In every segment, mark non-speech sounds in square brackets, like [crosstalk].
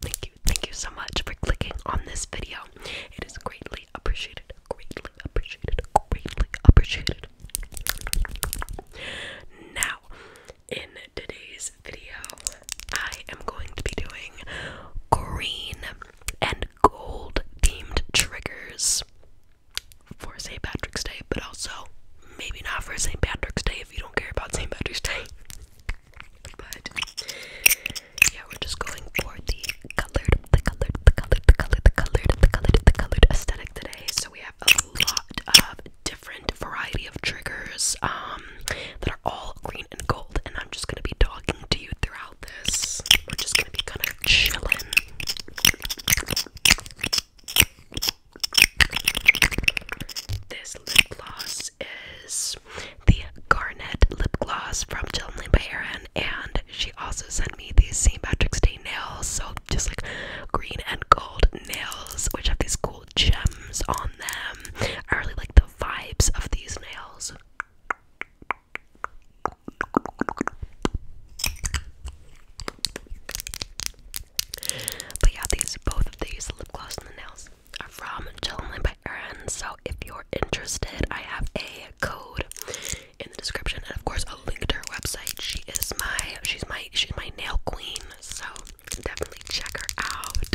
thank you, thank you, so much for clicking on this video. It is greatly appreciated, greatly appreciated, greatly appreciated. Now, in today's video, I am going to be doing green and gold themed triggers for St. Patrick's Day, but also maybe not for St. Patrick's Day if you don't care about St. Patrick's Day. But yeah, we're just going for the colored, the colored, the colored, the colored, the colored, the colored, the colored aesthetic today. So we have a lot of different variety of triggers um, that are all green and gold, and I'm just gonna be talking to you throughout this. We're just gonna be kind of chilling. This lip gloss is the Garnet lip gloss from Jill Lynn and she also sent me these St. Patrick's Day nails, so just like green and gold nails, which have these cool gems on them. I really like the vibes of these nails. But yeah, these both of these lip gloss and the nails from Gentleman by Erin. So if you're interested, I have a code in the description and of course a link to her website. She is my she's my she's my nail queen, so definitely check her out.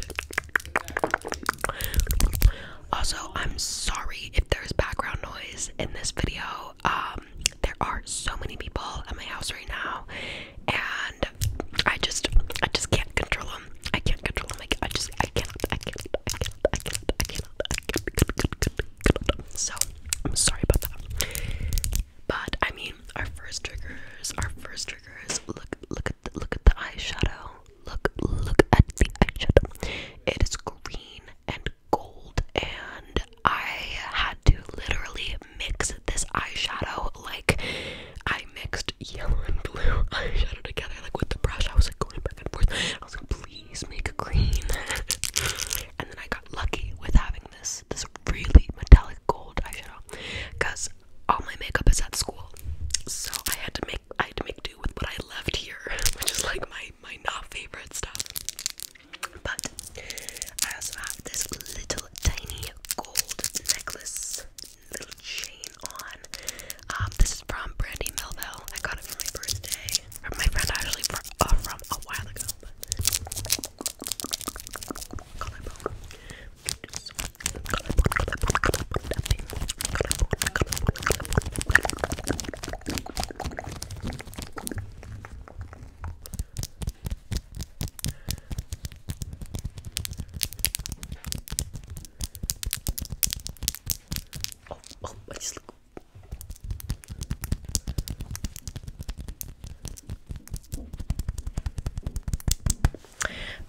Also, I'm sorry if there's background noise in this video. Um there are so many people at my house right now and I just I just can't control them. Um, I can't control them. I just, I cannot, I cannot, I cannot, I cannot, I cannot, I cannot. So, I'm sorry about that. But I mean, our first triggers, our first triggers. Look, look at the, look at the eyeshadow. Look, look at the eyeshadow. It is green and gold, and I had to literally mix this eyeshadow like I mixed yellow and blue eyeshadow together, like with the brush. I was like going back and forth. I was like, please make a green. [laughs] and then I got lucky with having this this really metallic gold eyeshadow, cause all my makeup is at school, so I had to make I had to make do with what I left here, [laughs] which is like my my not favorite stuff. But I also have this little tiny gold necklace little chain on. Um, this is from Brandy Melville. I got it for my birthday. Or my friend actually uh, from a while ago. Oh, oh, I look.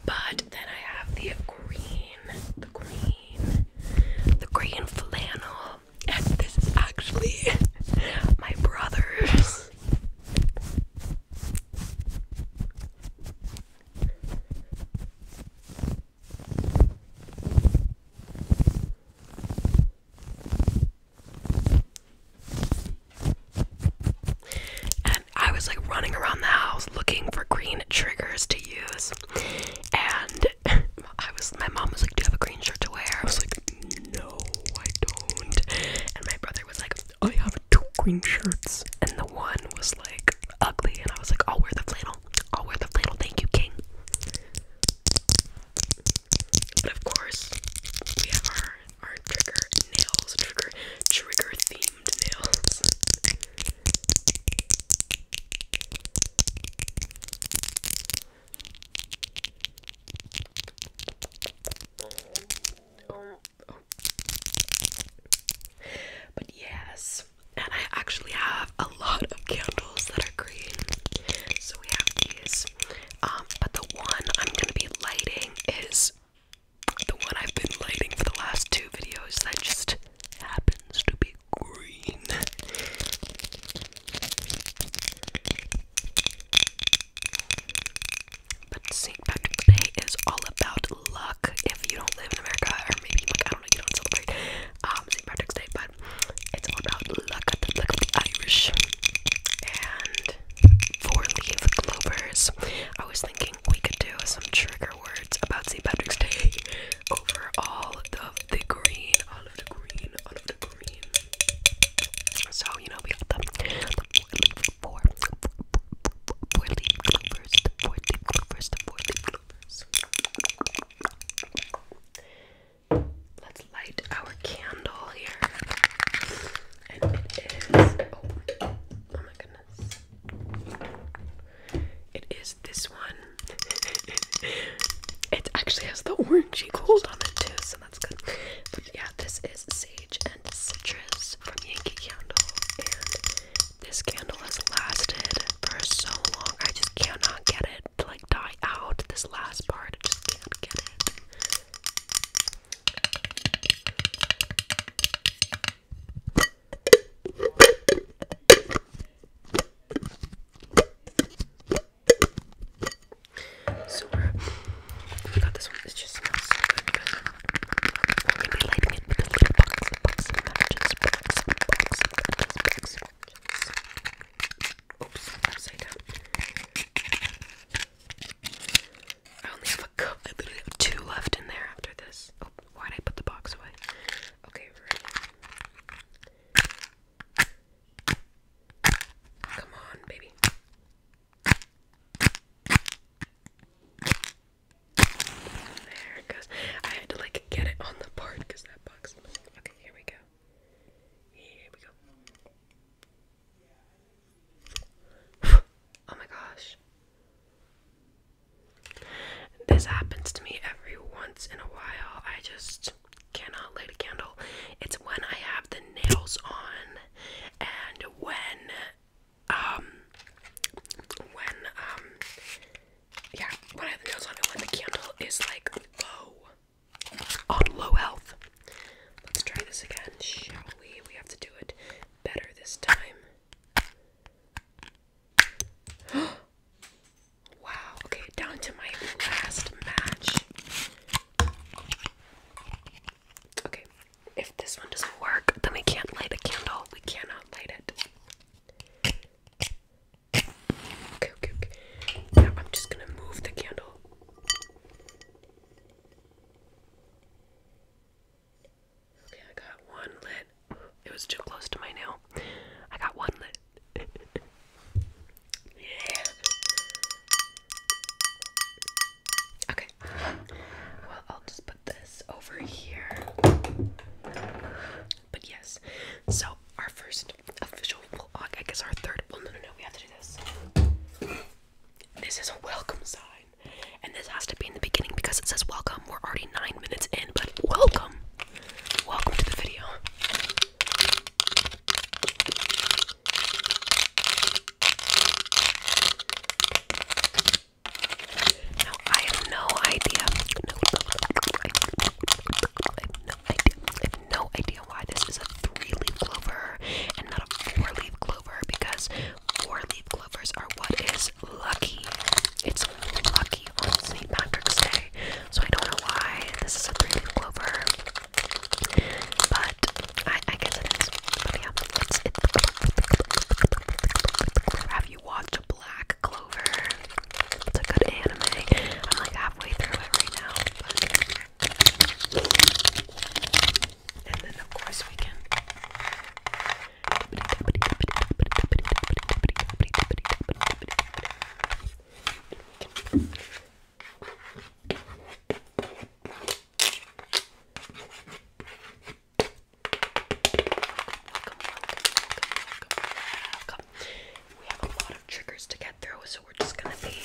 But then I have the green, the green, the green flannel, and this is actually [laughs] my brother's. And I was like running around the house looking for green triggers to use. And [laughs] I was my mom was like, Do you have a green shirt to wear? I was like, No, I don't. And my brother was like, I oh, have two green shirts and one was like ugly, and I was like, I'll wear the flannel. I'll wear the flannel. Thank you, King. But of course, we have our our trigger nails, trigger trigger themed nails. [laughs] But yes, and I actually have a lot of candles that are green. So we have these, um, but the one I'm gonna be lighting is the one I've been lighting for the last two videos that just happens to be green. But St. Patrick's Day is all about luck if you don't live in America or maybe I don't know you celebrate um, St. Patrick's Day, but it's all about luck the Irish. And four leaf clovers. I was thinking we could do some trigger words about St. Patrick's Day over all of the, green, So you know we have the, the leaf four, four, four, four, four four leaf clovers, four leaf Let's, light our candle here. And it is, oh, my goodness. It is this one. [laughs] it actually has the orangey gold on it too, so that's good. But yeah, this is Sage and Citrus from Yankee Candle. This candle has lasted for so long. I just cannot get it to like die out. This last part, I just can't get it. So we got this one. It just so good I only have a two left in there after this. Oh, why did I put the box away? Okay, Come on, baby. There goes. I had to like get it on the board because that box. Okay, here we go. Here we go. oh my gosh. This happens to me every once in a while. I just cannot light a candle. It's when I have the nails on and when um when um yeah, when I have the nails on and the candle is like low, on low health. Let's try this again, shall we? We have to do it better this time. [gasps] wow, okay, down to my last match. Okay, if this one doesn't work, then we can't light a candle. We cannot light it. Okay, okay, okay. Now I'm just gonna move the candle. Okay, I got one lit. It was too close to my nail. I got one lit. yeah. Okay. Well, I'll just this over here. But yes, so our first official vlog, I guess our third. Well, no, no, no, we have to do this. This is a welcome sign, and this has to be in the beginning because it says welcome. We're already nine minutes in, but welcome, welcome to the video. I have no idea. No, idea. why this is a three-leaf clover and not a four-leaf clover because four-leaf clovers are what is lucky. It's lucky on St. Patrick's Day, so I don't know why this is a three-leaf clover. But I, guess it's have you watched Black Clover. It's a good anime. I'm like halfway through it right now. And then, of course, we can. We have a lot of triggers to get through, so we're just gonna be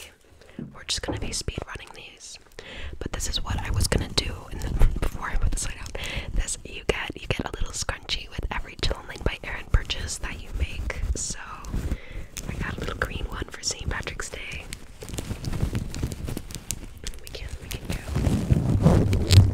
we're just gonna be speed running these. But this is what I was gonna do before I put the slide out. This you get you get a little scrunchie with every chilling by Erin purchase that you make. So I got a little green one for St. Patrick's Day. We can we can go.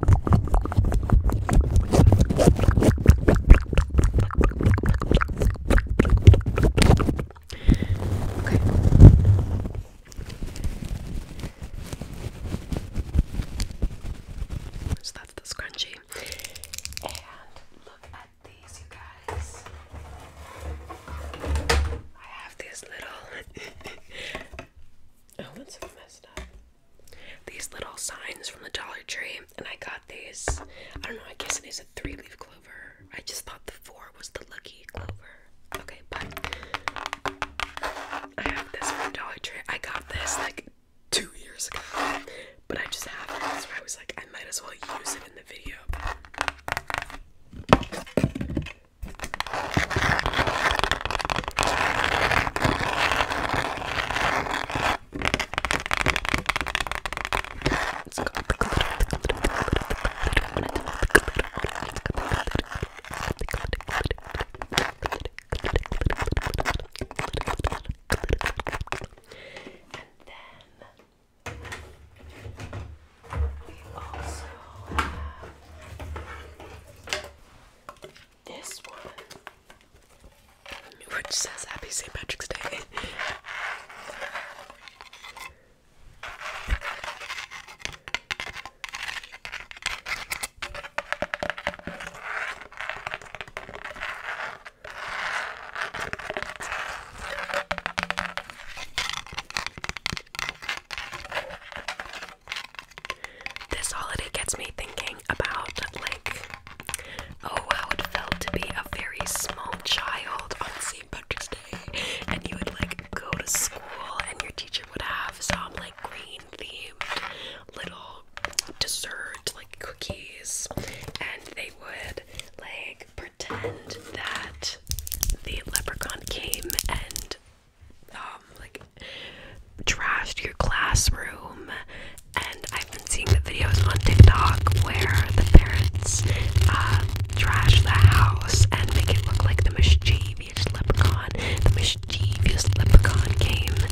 So that's the scrunchie. And look at these, you guys. I have these little. [laughs] oh, that's so messed up these little signs from the Dollar Tree, and I got these. I don't know, I guess it is a three leaf clover. I just thought the four was the lucky clover. Okay, but I have this from Dollar Tree. I got this like two years ago, but I just have it. So I was like, I might as well use it in the video. Let's go with the glitter. And then we also have this one which says Happy St. Patrick's Day. This holiday gets me thinking about like Oh, how it felt to be a very small child on St. Patrick's Day. And you would like go to school, and your teacher would have some like green themed little dessert, like cookies, and they would like pretend that the leprechaun came and um like trashed your classroom. And I've been seeing the videos on TikTok where the parents uh, trash the house and make it look like the mischievous leprechaun, the mischievous leprechaun came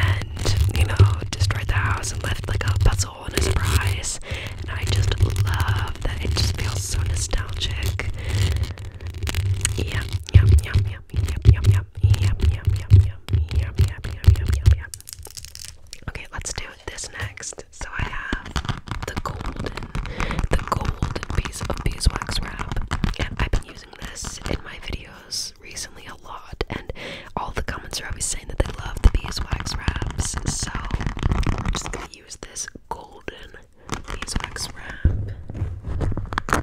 and, you know, destroyed the house and left like a puzzle and a surprise. And I just love that. It just feels so nostalgic. Yum, yum, yum, yum, yum, yum, yum, yum, yum, yum, yum, yum, yum, yum, yum, yum, yum. Okay, let's do this next. So I have the golden, the golden piece of beeswax wrap, and I've been using this in my videos recently a lot, and all the comments are always saying that they love the beeswax wraps. So I'm just gonna use this golden beeswax wrap.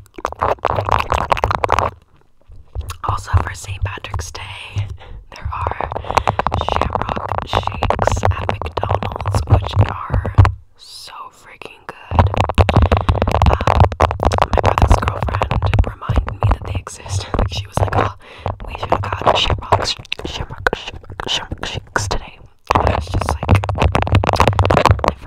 Also, for St. Patrick's Day, there are shamrock shakes at McDonald's, which are so freaking good. Um, my brother's girlfriend reminded me that they exist. [laughs] Like, she was like, oh, we should have gotten shamrock, shamrock, shamrock shakes today. And was just like,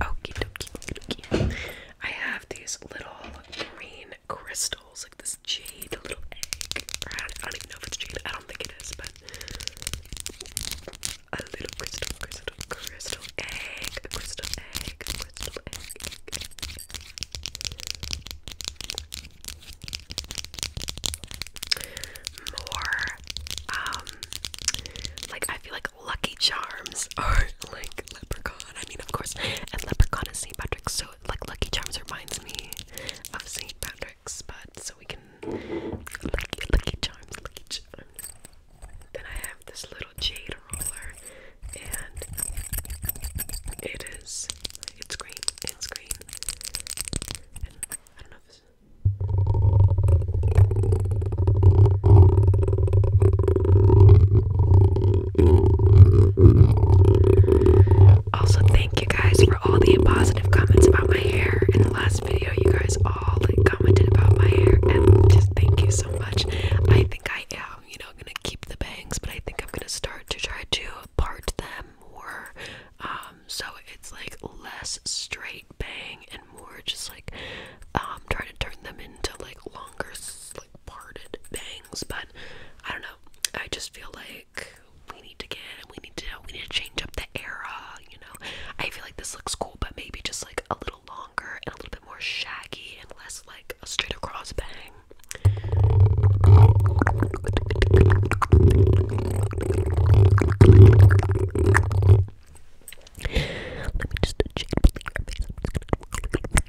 Okie dokie, dokie. I have these little green crystals skulls, like this jade a little egg. I, don't, even know if it's jade. I don't think it is, but a little crystal, crystal, crystal egg, a crystal egg, a crystal egg. More, um, like I feel like Lucky Charms are [laughs] like Leprechaun. I mean, of course, and Leprechaun is St. Patrick's, so like Lucky Charms reminds me of St. Patrick's, but so we can Lucky, Lucky Charms, Lucky Charms. Then I have this little jade roller, and it is it's green, it's green, I don't know if also, thank you guys for all the positive comments about my hair. In the last video, you guys all commented about my hair, and just thank you so much. I think I am, you know, gonna keep the bangs, but I think I'm gonna start to try to part them more, um, so it's like less straight bang and more just like um, trying to turn them into like longer, parted bangs, but I don't know. I just feel like we need to get we need to we need to change up the era, you know. I feel like this looks cool, but maybe just like a little longer and a little bit more shaggy and less like a straight across bang. Let me just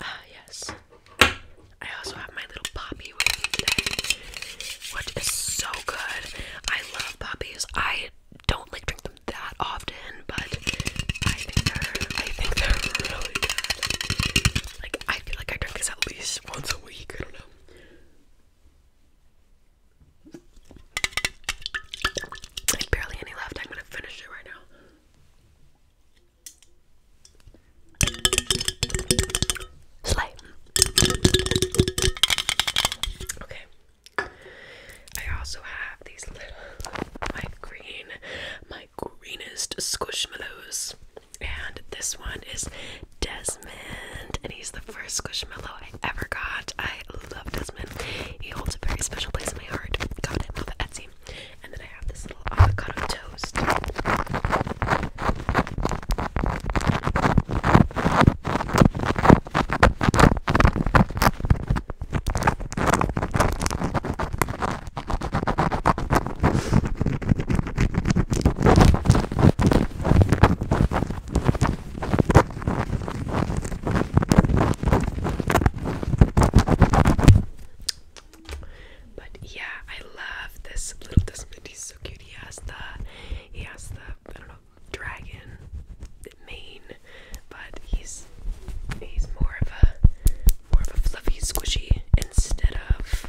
Ah, yes. I also have my little poppy with me today, which is so good. I love poppies. I don't like drink them that often, but I think they're I think they're really good. Like I feel like I drink this at least once a week. I don't know. There's barely any left. I'm gonna finish it right now. Slay. Okay. I also have these little my green, my greenest squishmallows. And this one is Des Desmond, and he's the first squishmallow I ever got. I love Desmond. He holds a very special place in my heart. Got him off of Etsy. And then I have this little avocado toast. But yeah, I love this little Desmond. He's so cute. He has the, he has the, I don't know, dragon mane, but he's he's more of a more of a fluffy squishy instead of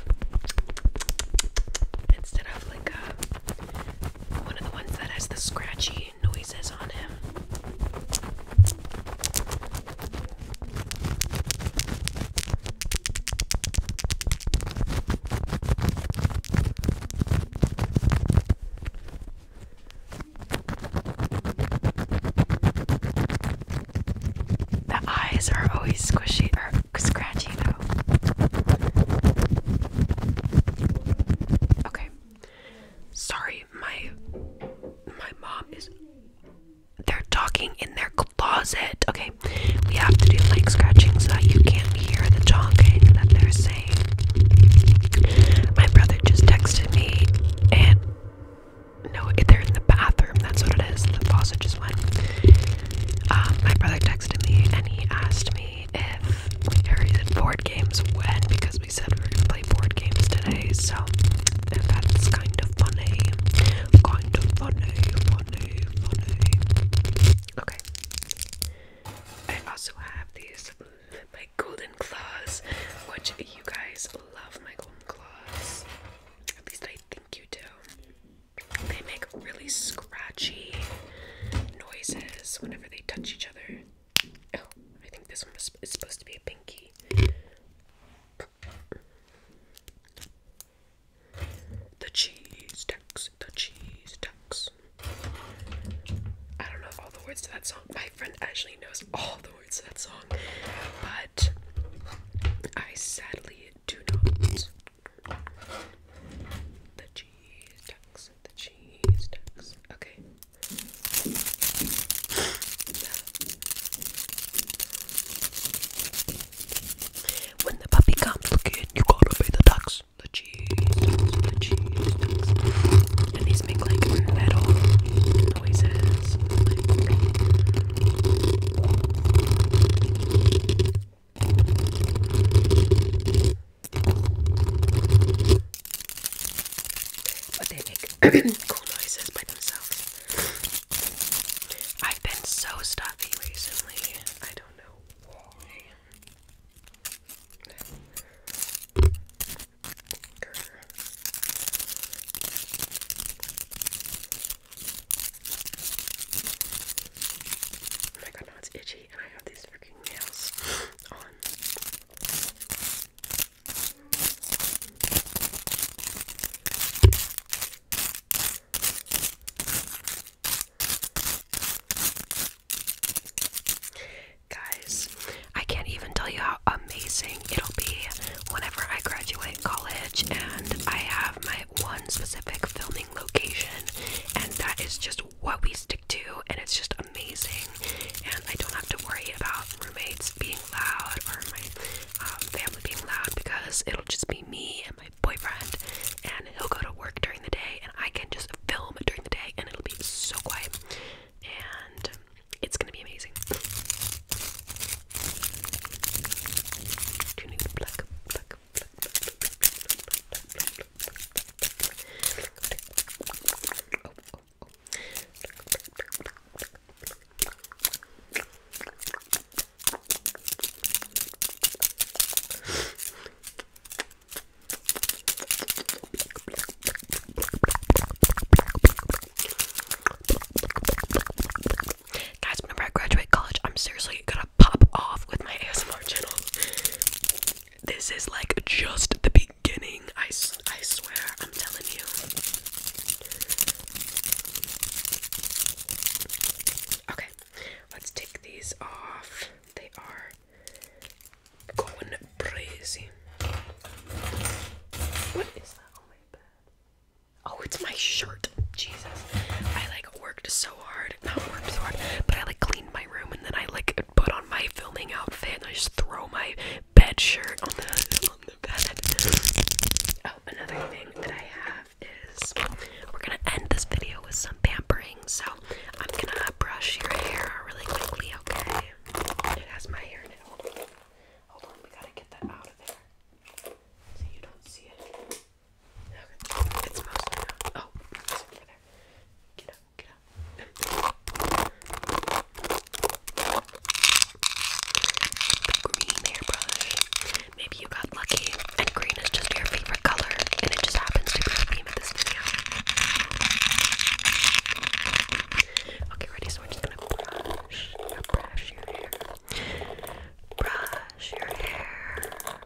instead of like a one of the ones that has the scratchy noises on him. The eyes are always squishy, scratchy though. Okay. Sorry, my my mom is they're talking in their closet. Okay, we have to do like scratching so that you can't hear the talking that they're saying. My brother just texted me and no, they're in the bathroom. That's what it is. The faucet just went. Uh, my brother texted me and he asked me if we are using board games when because we said we were gonna play board games today, so that's kind of funny. Kind of funny, funny, funny. Okay. I also have these mm, my golden claws, which you guys love my golden claws. At least I think you do. They make really scratchy noises whenever they touch each other. Oh, I think this one is, supposed to be a pinky. The cheese ducks, the cheese ducks. I don't know all the words to that song. My friend actually knows all the words to that song, but I sadly do not. The cheese ducks. The cheese ducks. Okay. When the puppy comes looking, you gotta pay the ducks. The cheese The cheese And these make like metal noises. But they make cool noises by themselves. I've been so stuffy recently. I don't know Oh my god, now it's itchy, and I have these Guys, I can't even tell you how amazing it'll be whenever I graduate college and I have my one specific filming location, and that is just what we stick to, and it's just amazing. And I don't have to worry about roommates being loud or my um, family being loud because it'll just be me and my boyfriend, and he'll go to work during the day, and I can just film during the day, and it'll be so quiet. And it's gonna be amazing. Pluck, pluck, Guys, whenever I graduate college, I'm seriously gonna pop off with my ASMR channel. This is like just the beginning. I, I swear, I'm telling you. Okay, let's take these off. They are going crazy. What is that on my bed? Oh, it's my shirt. Jesus. I like worked so so hard. Not worked so hard. But I like cleaned my room and then I like put on my filming outfit I just throw my bed shirt on the bed. Oh, another thing that I have is we're gonna end this video with some pampering. So I'm gonna brush your hair really quickly, okay? It has my hair now. Hold on. we gotta get that out of there. So you don't see it. It's mostly Oh, green hairbrush. Maybe you got lucky and green is just your favorite color and it just happens to be the theme of this video. Okay, ready? So we're just gonna brush, brush your hair. Brush your hair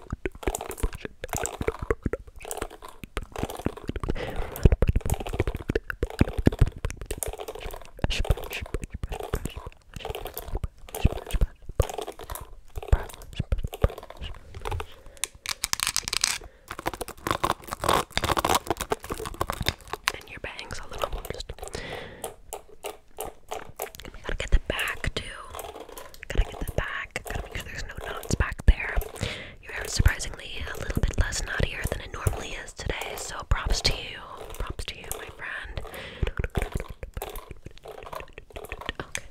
and your bangs a little more just gotta get the back too. Gotta get the back. Gotta make sure there's no knots back there. Your hair is surprisingly a little bit less knottier than it normally is today, so props to you. Props to you, my friend. Okay.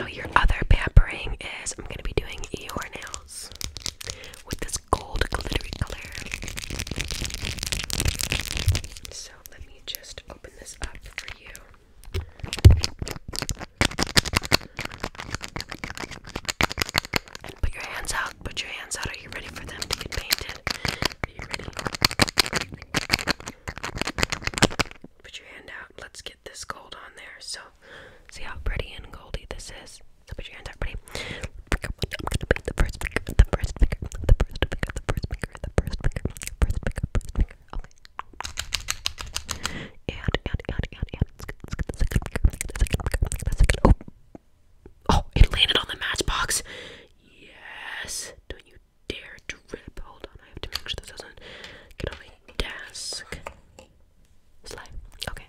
Now, your other pampering is I'm going to be doing your nails with this gold glittery color. So let me just open this up for you. put your hands out. Put your hands out. Are you ready for them to get painted? Are you ready? Put your hand out. Let's get this gold on there. So, see how pretty and goldy this is. So put your hands up, ready? The first finger, the first finger, the first finger, the first finger, the first finger, first finger, first finger. Okay. And and and and and let's get the second finger, the second finger, the second. Oh, oh! It landed on the matchbox. Yes. Don't you dare drip. Hold on, I have to make sure this doesn't get on my desk. Slide. Okay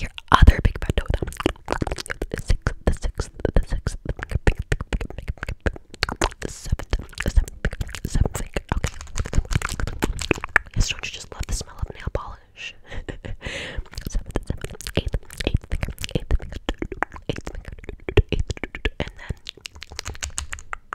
your other big fat toe. The sixth, the sixth, the sixth, the seventh, the seventh, seventh finger. Okay. Yes, don't you just love the smell of nail polish? seventh, seventh, eighth, eighth finger, eighth finger, eighth finger, eighth, and then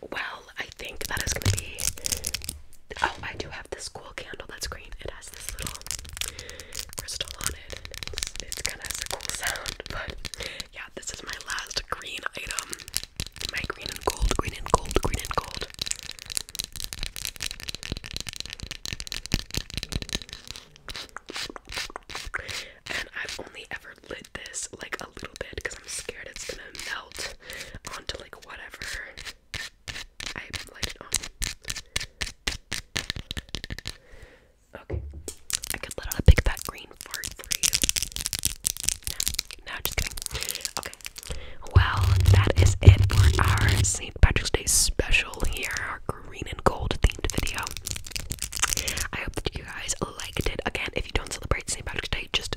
well, I think that is gonna be. Oh, I do have this cool candle that's green. It has this little crystal on it, and it's, it kind of a cool sound. But yeah, this is my last green item. My green and gold, green and gold, green and gold. And I've only ever lit this like a little bit because I'm scared it's gonna melt onto like whatever. Oh. Okay. I could let out a big fat green fart for you. No, just Okay. Well, that is it for our St. Patrick's Day special here, our green and gold themed video. I hope that you guys liked it. Again, if you don't celebrate St. Patrick's Day, just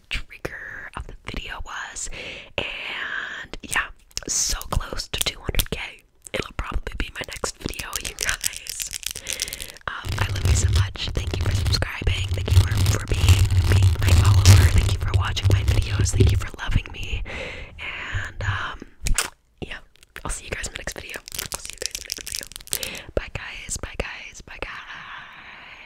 trigger of the video was. And yeah, so close to 200k. It'll probably be my next video, [laughs] you guys. Um, I love you so much. Thank you for subscribing. Thank you for, for being, being my follower. Thank you for watching my videos. Thank you for loving me. And um, yeah, I'll see you guys in the next video. I'll see you guys in the next video. Bye, guys. Bye, guys. Bye, guys.